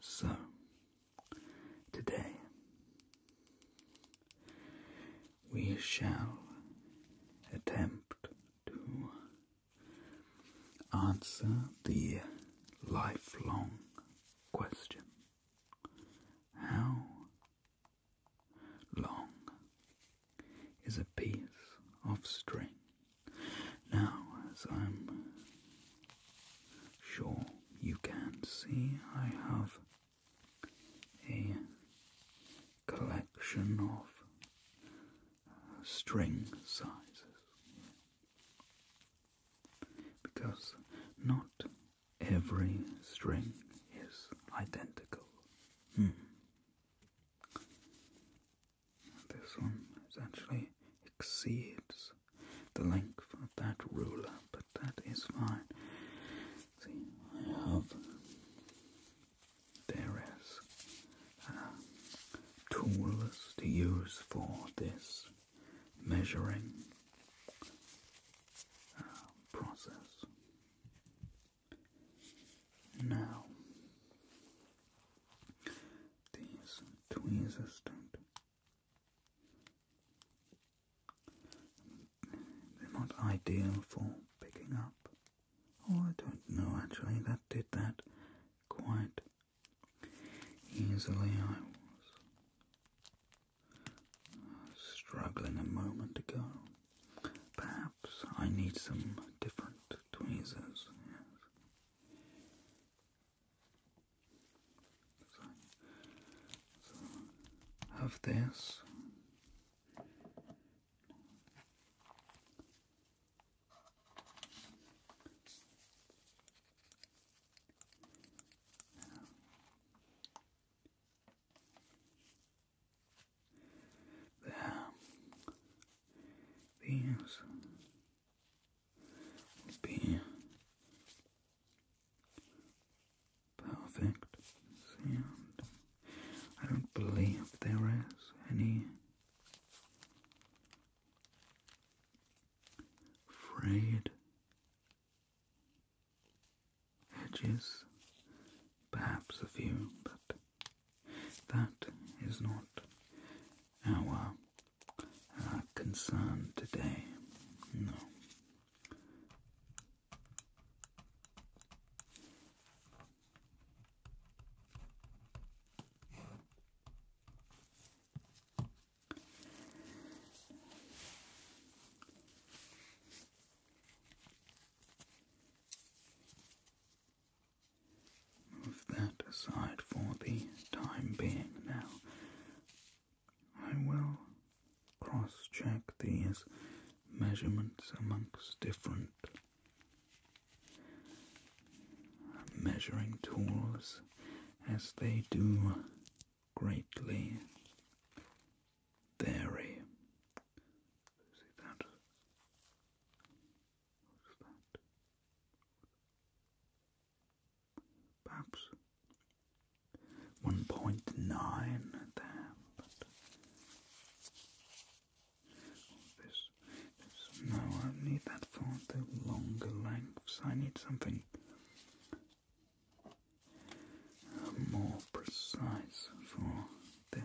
So, today we shall attempt to answer the lifelong question How long is a piece of string. Now, as I'm sure you can see, I have a collection of string sizes. Because not every string is identical. Hmm. This one is actually exceeds the length of that ruler, but that is fine. I have there is tools to use for this measuring uh, process. Now, these tweezers don't. They're not ideal for picking up. Oh, I don't know actually, that did that quite easily. I was struggling a moment ago. Perhaps I need some different tweezers. have this. There. These would be perfect sound. I don't believe there is any frayed edges, perhaps a few, but that is not our uh, concern today. No. Move that aside for the time being now. I will cross check these measurements amongst different measuring tools as they do greatly vary What's that? Perhaps one point nine there, this no, I need that for the longer lengths. I need something uh, more precise for this.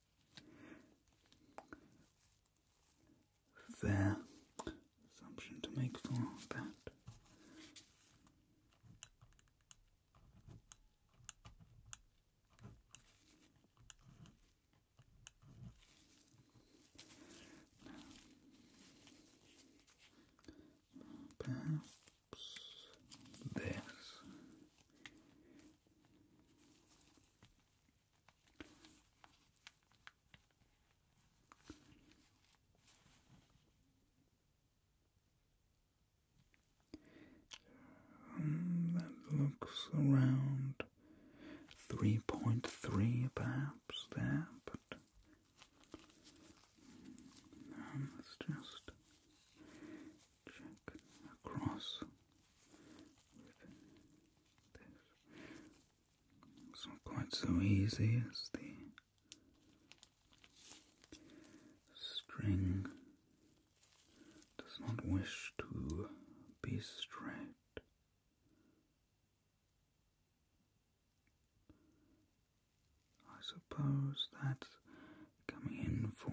fair assumption to make for that. Perhaps this um, that looks around 3.3 perhaps there, but um, just across not quite so easy as the string does not wish to be straight. I suppose that's coming in for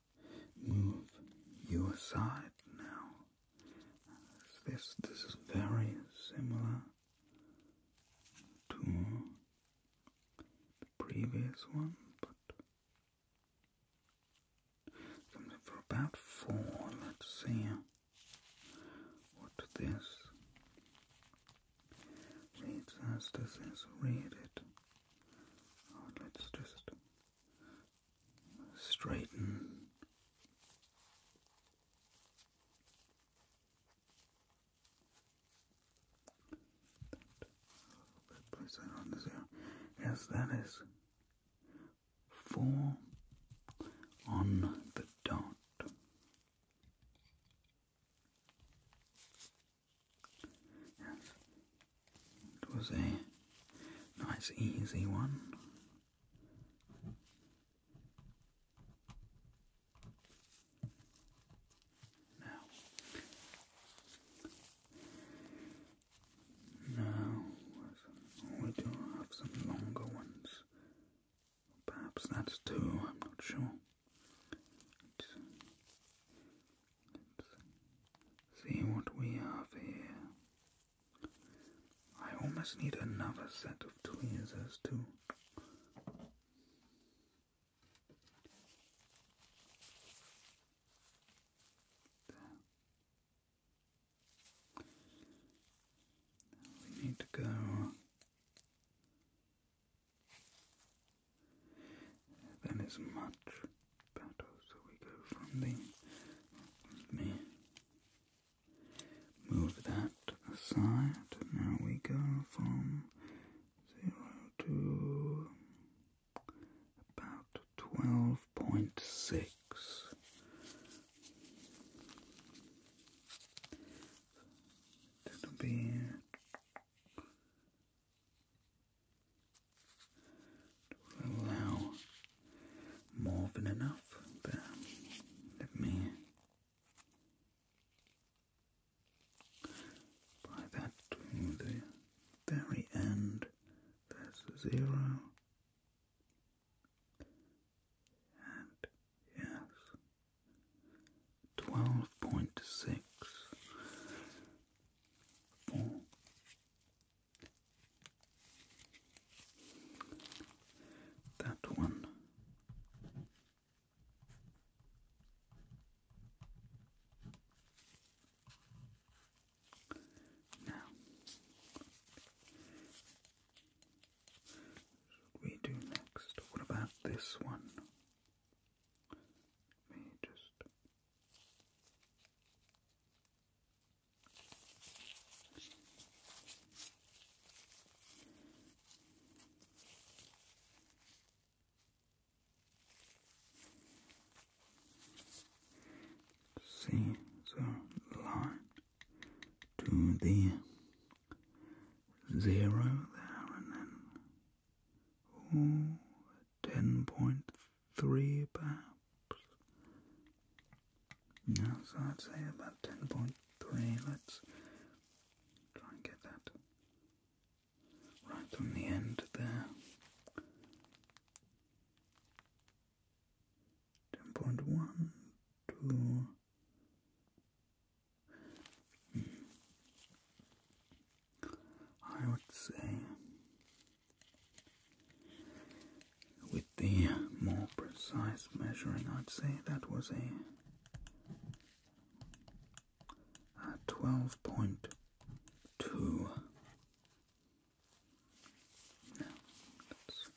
move you aside now. This this is very similar to the previous one, but something for about four. Let's see what this reads us Does read it? Oh, let's just straighten. Place that on the zero. Yes, that is four on the dot. It was a nice, easy one. Now, now we do have some longer ones. Perhaps that's two. I'm not sure see what we have here. I almost need another set of tweezers too. We need to go then it's much better. So we go from the. move that aside. Now we go from zero to about twelve point six. That'll be allow more than enough, but let me by that to the very end. There's zero. And yes, twelve point six that one. Now, should we do next? What about this one? Let me just see the line to the zero there and then or ten point three perhaps. No, so I'd say about ten point three. Let's try and get that right on the end there. Ten point one two. Hmm. I would say, with the more precise measuring, I'd say that was a, twelve point two. Now, let's,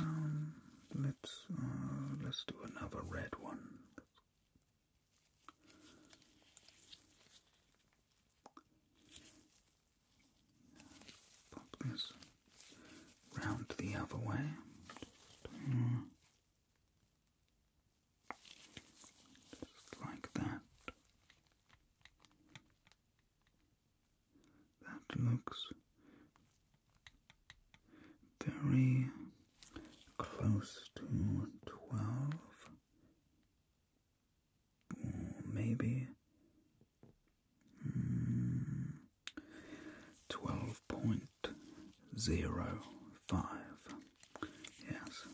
um, uh, let's do another red one. Pop this round the other way. Just like that. That looks very close to 12, or maybe 12.05. Hmm. Yes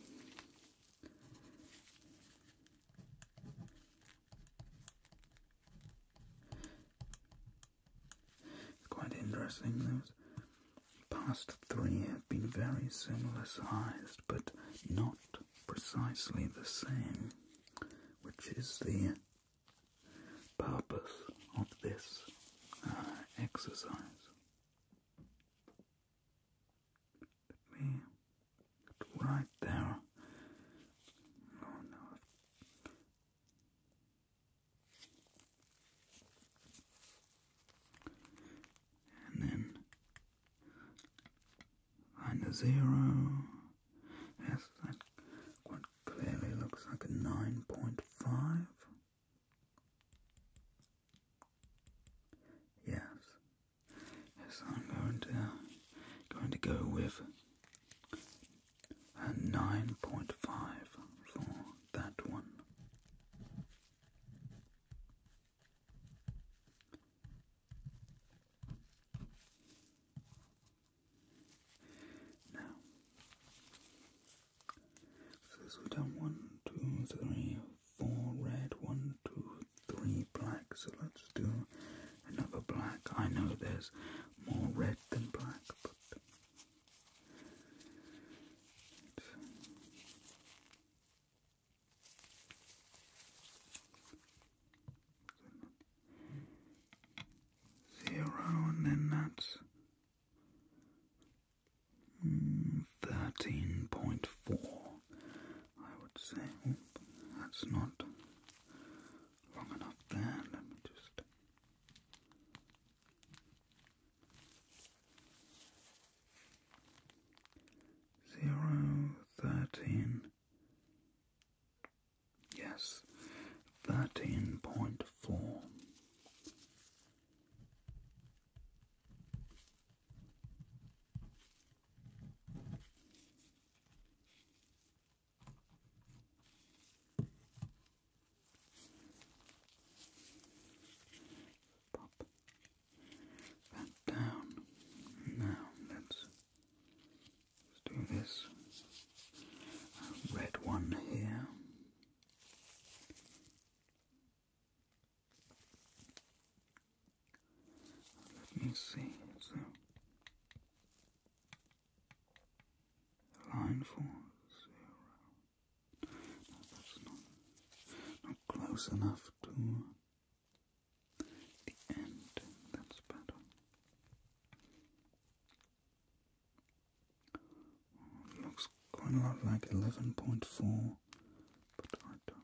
quite interesting. Those past three have been very similar sized, but not precisely the same, which is the purpose of this uh, exercise. Let me right there. Oh no, and then line the zero. Yes, that quite clearly looks like a nine point five. Yes, yes, I'm going to going to go with and 9.5 for that one. Now, so this we've done one, two, three, four red, one, two, three black. So let's do another black. I know there's more red than black, but Zero and that's thirteen point four, I would say. that's not long enough there. just Zero thirteen. Yes, thirteen point four. Pop that down. Now let's, let's do this red one here. Let me see. So line four zero that's not, not close enough to the end. That's better. looks quite a lot like 11.4, but I don't.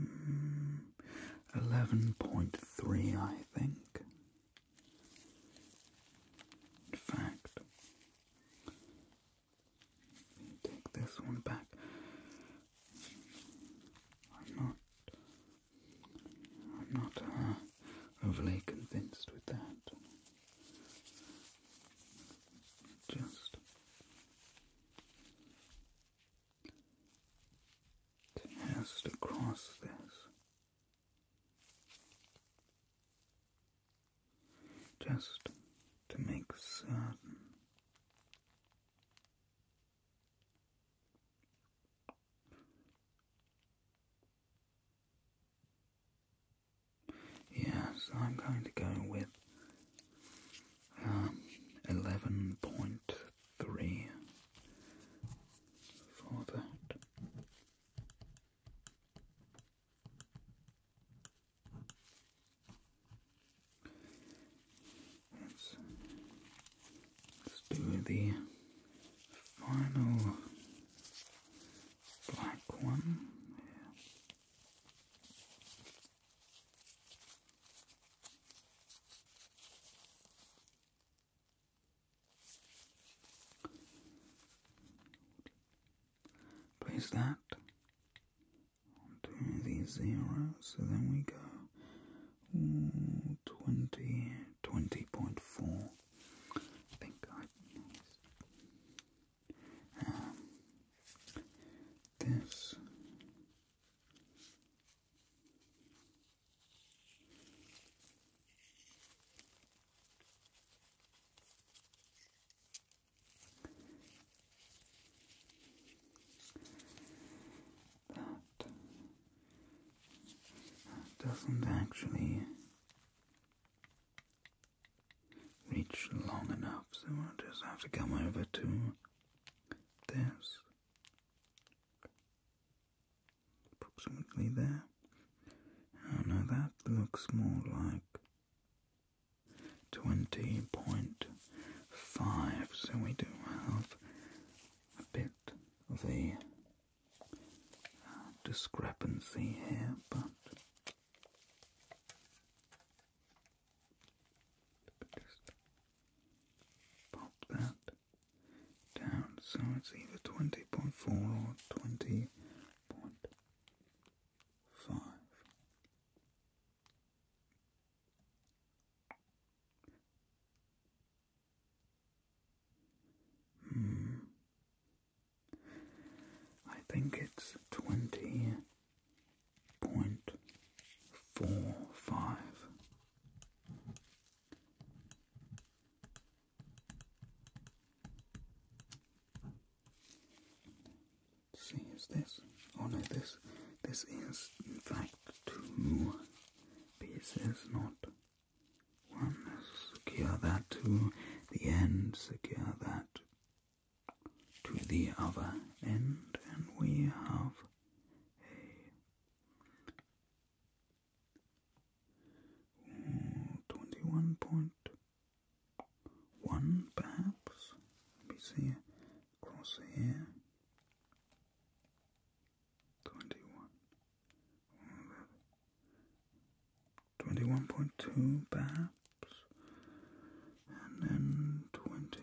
Mm, Eleven point three, I think. In fact, take this one back. I'm not I'm not uh, overly convinced with that. Just test across this. Just to make certain. Yes, I'm going to go with 11.3 um, for that let do the final black one. Yeah. Place that onto the zero, so then we go. Ooh, 20, 20.4 Thank card, um, this that doesn't actually reach long enough, so I just have to come over to this, approximately there. Oh no, that looks more like 20.5, so we do have a bit of a discrepancy here, but just pop that down so it's either 20.4 or 20.5. Hmm. I think it's twenty see, is this? Oh no, this this is in fact two pieces, not one, secure that to the end, secure that to the other end, and we have a twenty-one point one, perhaps. Let me see across here. Twenty-one. Twenty-one point two, perhaps, and then twenty.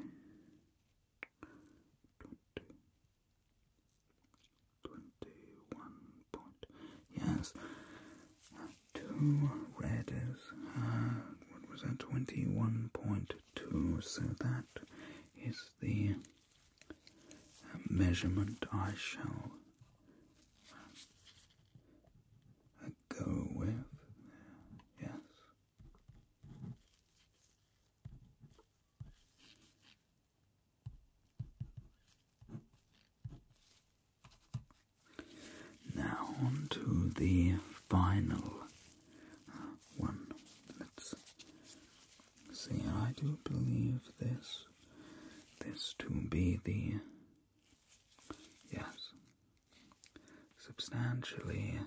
point. Yes. Two red uh, what was that? Twenty-one point two. So that is the a measurement I shall uh, go with. Yes. Now on to the final uh, one. Let's See, I do believe this this to be the yes substantially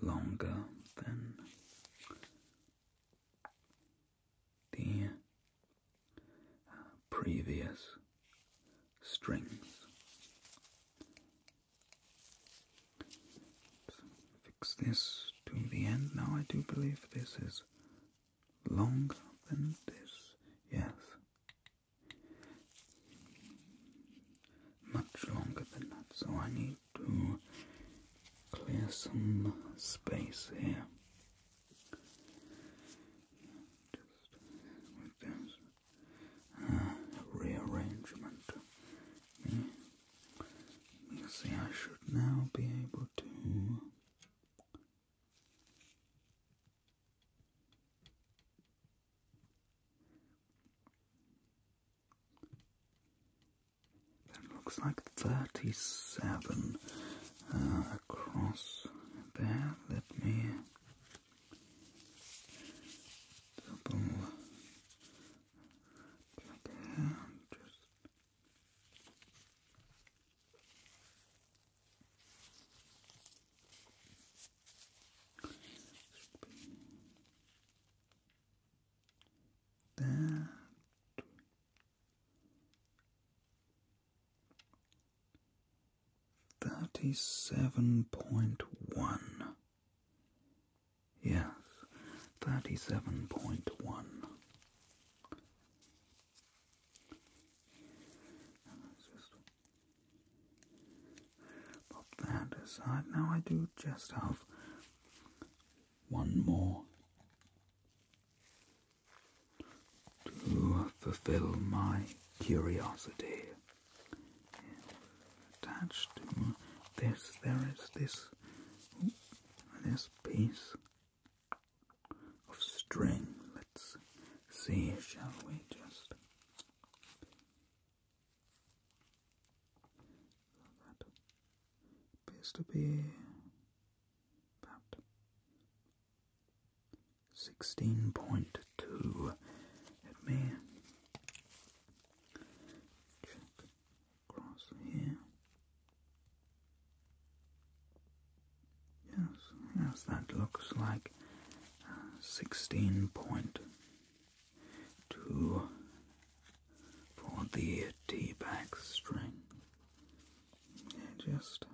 longer than the uh, previous strings this to the end. Now I do believe this is longer than this. Yes. Much longer than that. So I need to clear some space here. Just with this uh, rearrangement. Hmm? see, I should now be able to. That looks like 37 uh, across there. Let me double click and just that thirty seven point one Yes, 37.1. pop that aside. Now I do just have one more to fulfill my curiosity. Attached to this, there is this this piece of string. Let's see, shall we just that appears to be about sixteen point two. me across here. Yes, yes, that looks like sixteen point two for the T back string. just.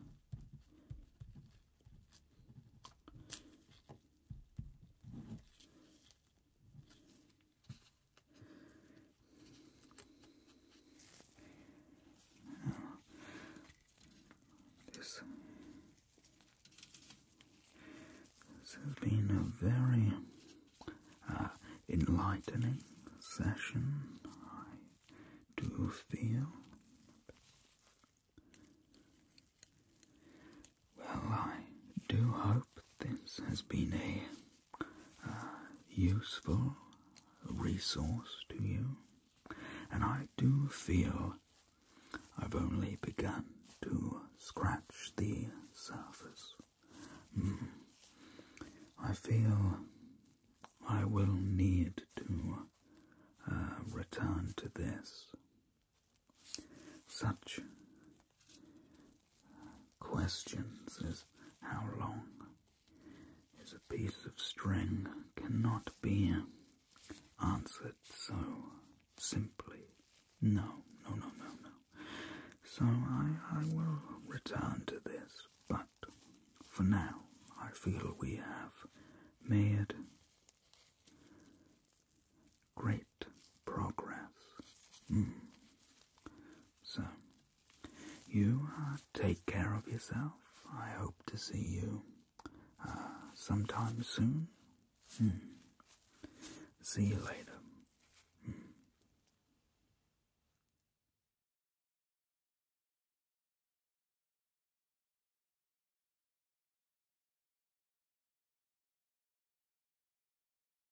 This, has been a very uh, enlightening session, I do feel. Well, I do hope this has been a uh, useful resource to you, and I do feel I've only begun to scratch the surface. Hmm. I feel I will need to uh, return to this. Such questions is how long is a piece of string cannot be answered so simply. No, no, no, no, no. So I, I will return to this, but for now I feel we have made great progress. Mm. So, you uh, take care of yourself. I hope to see you uh, sometime soon. Hmm. See you later.